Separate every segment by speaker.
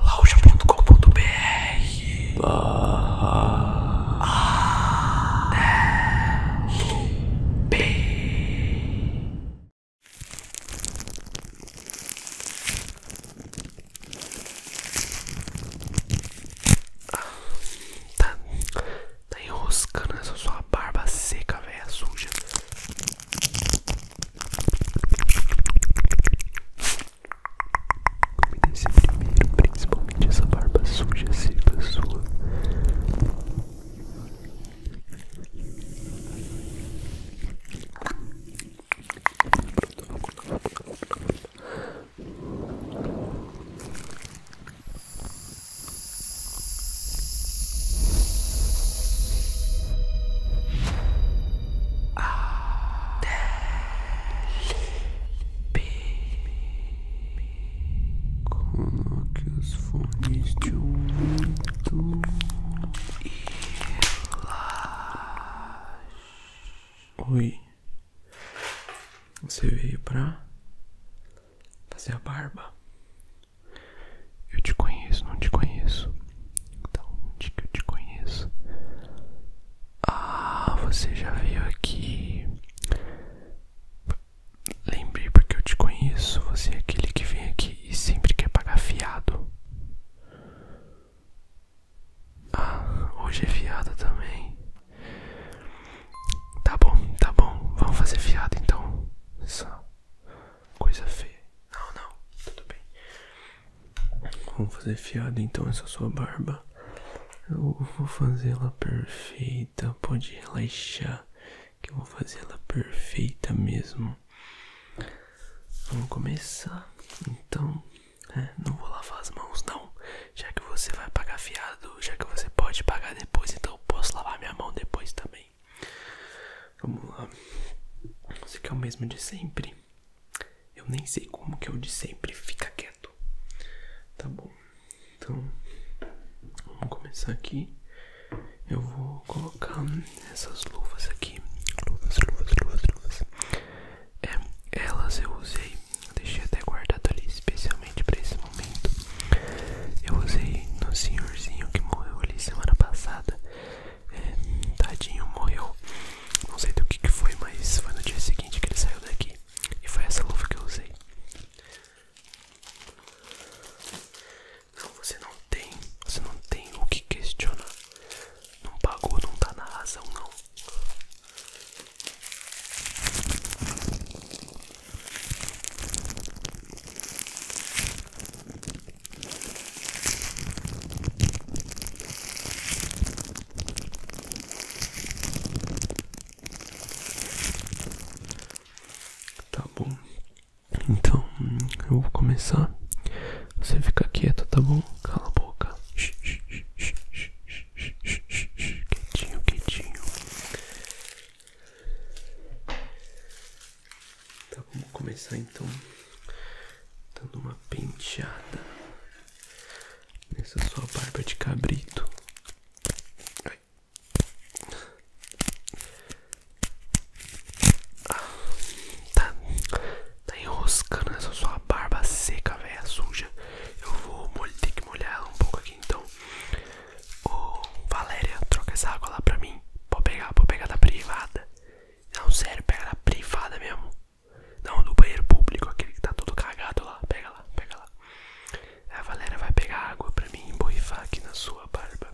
Speaker 1: lauja.com.br barra ALB tá, tá enroscando essa sua barba seca, velha suja me desce primeiro, principalmente essa barba suja, seca sua. Coloque os fones de ouvido e Oi, você veio pra fazer a barba? Eu te conheço, não te conheço. Da então, onde que eu te conheço? Ah, você já veio aqui. Lembrei porque eu te conheço. Você é aquele que vem aqui e sempre quer pagar fiado. Ah, hoje é fiado também. Tá bom, tá bom. Vamos fazer fiado então. Essa coisa feia. Não, não, tudo bem. Vamos fazer fiado então essa sua barba. Eu vou fazer ela perfeita. Pode relaxar, que eu vou fazer ela perfeita mesmo. Vamos começar. Então, é, não vou lavar as mãos não, já que você vai pagar fiado, já que você pode pagar depois, então eu posso lavar minha mão depois também. Vamos lá. Você quer o mesmo de sempre? Eu nem sei como que eu de sempre fica quieto. Tá bom. Então, vamos começar aqui. Eu vou colocar essas luvas aqui. Luvas, luvas, luvas, luvas. É, elas eu usei, deixei até guardado ali especialmente para esse momento. Eu usei no senhorzinho que morreu ali semana passada é, tadinho, morreu. Não sei do que, foi, mas foi no dia seguinte que ele saiu daqui. E foi essa luva que eu usei. Não, você não tem, você não tem o que questionar. Não pagou, não tá na razão, não. Tá bom. Então, eu vou começar. Você fica quieto, tá bom? Cala a boca. Quietinho, quietinho. Tá, vamos começar então dando uma penteada nessa sua barba de cabrito. Ai. Ah, tá. tá, enroscando essa sua barba seca, velha suja. Eu vou ter que molhar ela um pouco aqui então. Ô Valéria, troca essa água lá pra mim. Pode pegar, pode pegar da privada. Não, sério, pega da privada mesmo. Não, do banheiro público, aquele que tá todo cagado lá. Pega lá, pega lá. A Valéria vai pegar água pra mim emborrifar aqui na sua barba.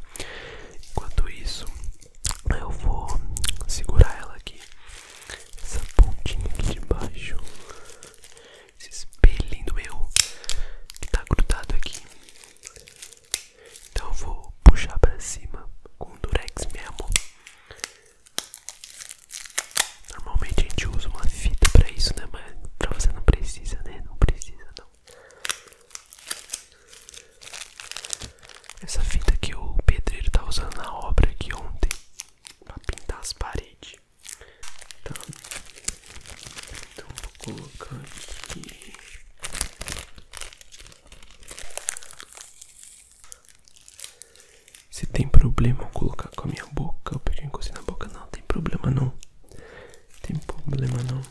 Speaker 1: Enquanto isso, eu vou segurar ela aqui. Essa pontinha aqui de baixo. Esse espelhinho do meu que tá grudado aqui. Então eu vou puxar pra cima com o durex mesmo. Normalmente a gente usa uma fita pra isso, né? Mas pra você não precisa, né? Não precisa, não. Essa fita que o pedreiro tá usando na obra aqui ontem pra pintar as paredes. Tá. Então vou colocar aqui. Se tem problema eu colocar com a minha boca, eu peguei e na boca, não tem problema não. Tem problema não.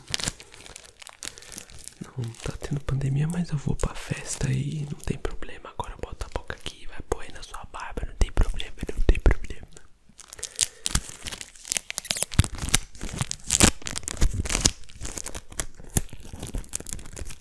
Speaker 1: Não tá tendo pandemia, mas eu vou pra festa e não tem problema. Agora bota a boca aqui, vai pôr na sua barba, não tem problema, não tem problema.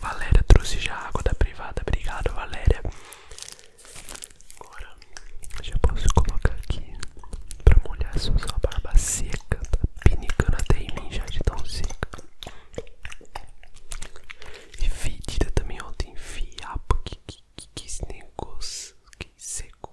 Speaker 1: Valéria trouxe já água da privada. Obrigado, Valéria. Agora já posso colocar aqui pra molhar sua, sua barba seca. Tá pinicando até em mim já de tão seca. E fedida também, ontem Tem fiapo. Que, que, que, que esse negócio. Que seco.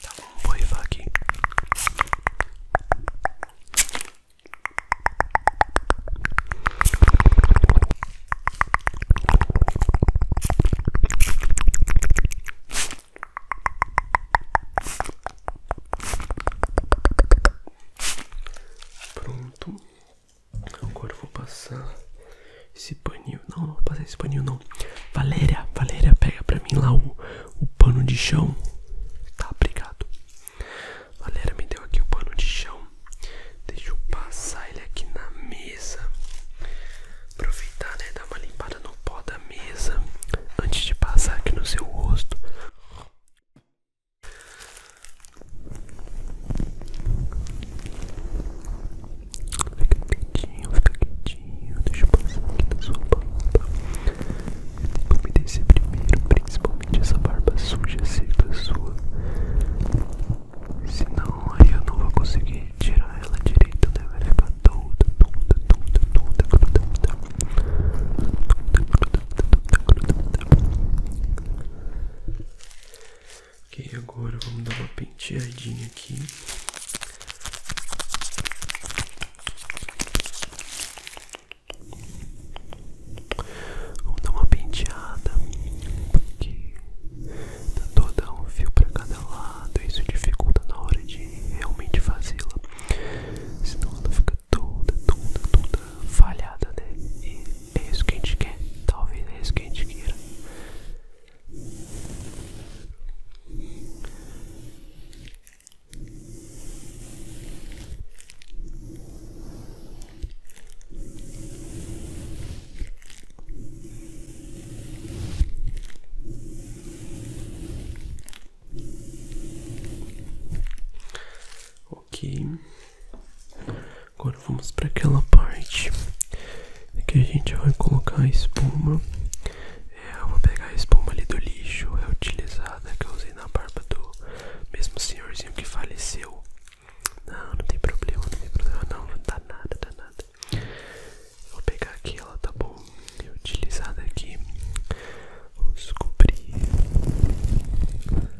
Speaker 1: Tá bom, vou rifar aqui. Pronto. Agora vou passar esse paninho. Não, não vou passar esse paninho, não. Valéria, Valéria, pega pra mim lá o, o pano de chão. Tá, obrigado. Valéria me deu aqui o pano de chão. Deixa eu passar ele aqui na mesa. Aproveitar, né? Dar uma limpada no pó da mesa antes de passar aqui no seu rosto. Fica quietinho, fica quietinho. Deixa eu passar aqui na sua barba. Eu tenho que umedecer primeiro, principalmente essa barba suja, seca sua. Senão aí eu não vou conseguir tirar ela direito, né? Vai ficar toda, toda, toda, toda, toda, toda. toda, toda, toda, toda, toda, toda. Ok, agora vamos dar uma penteadinha aqui. Vamos dar uma penteada, porque dá tá toda um fio para cada lado, isso dificulta na hora de realmente fazê-la, senão ela fica toda, toda, toda falhada, né? E é isso que a gente quer. Talvez é isso que a gente queira. Agora vamos para aquela parte que a gente vai colocar a espuma. É, eu vou pegar a espuma ali do lixo é utilizada que eu usei na barba do mesmo senhorzinho que faleceu. Não, não tem problema, não tem problema não, não dá nada, dá nada. vou pegar aqui, ela tá bom, é utilizada aqui. Vamos cobrir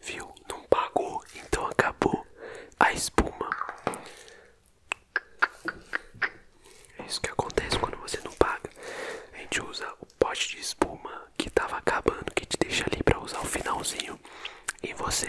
Speaker 1: Viu? Não pagou, então acabou a espuma. É isso que acontece quando você não paga. A gente usa o pote de espuma que tava acabando, que te deixa ali para usar o finalzinho e você.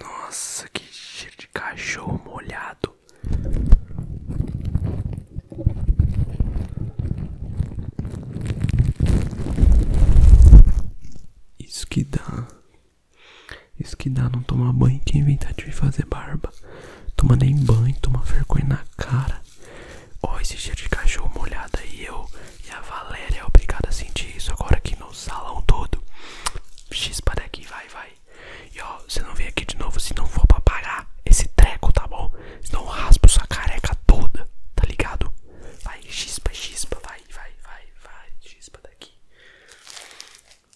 Speaker 1: Nossa, que cheiro de cachorro molhado. Isso que dá. Isso que dá não tomar banho e quem inventar de fazer barba. Toma nem banho, toma vergonha na cara ó esse cheiro de cachorro molhado aí, eu e a Valéria obrigada a sentir isso agora aqui no salão todo. X para aqui, vai, vai. E ó, você não vem aqui de novo se não for pra pagar esse treco, tá bom? Senão eu raspo sua careca toda, tá ligado? Vai, xispa, xispa, vai, vai, vai, vai, xispa daqui.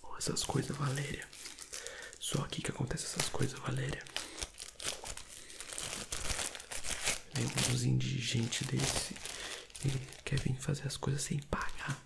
Speaker 1: Oh, essas coisas, Valéria. Só aqui que acontece essas coisas, Valéria. Lembra uns indigentes desse que quer vir fazer as coisas sem pagar.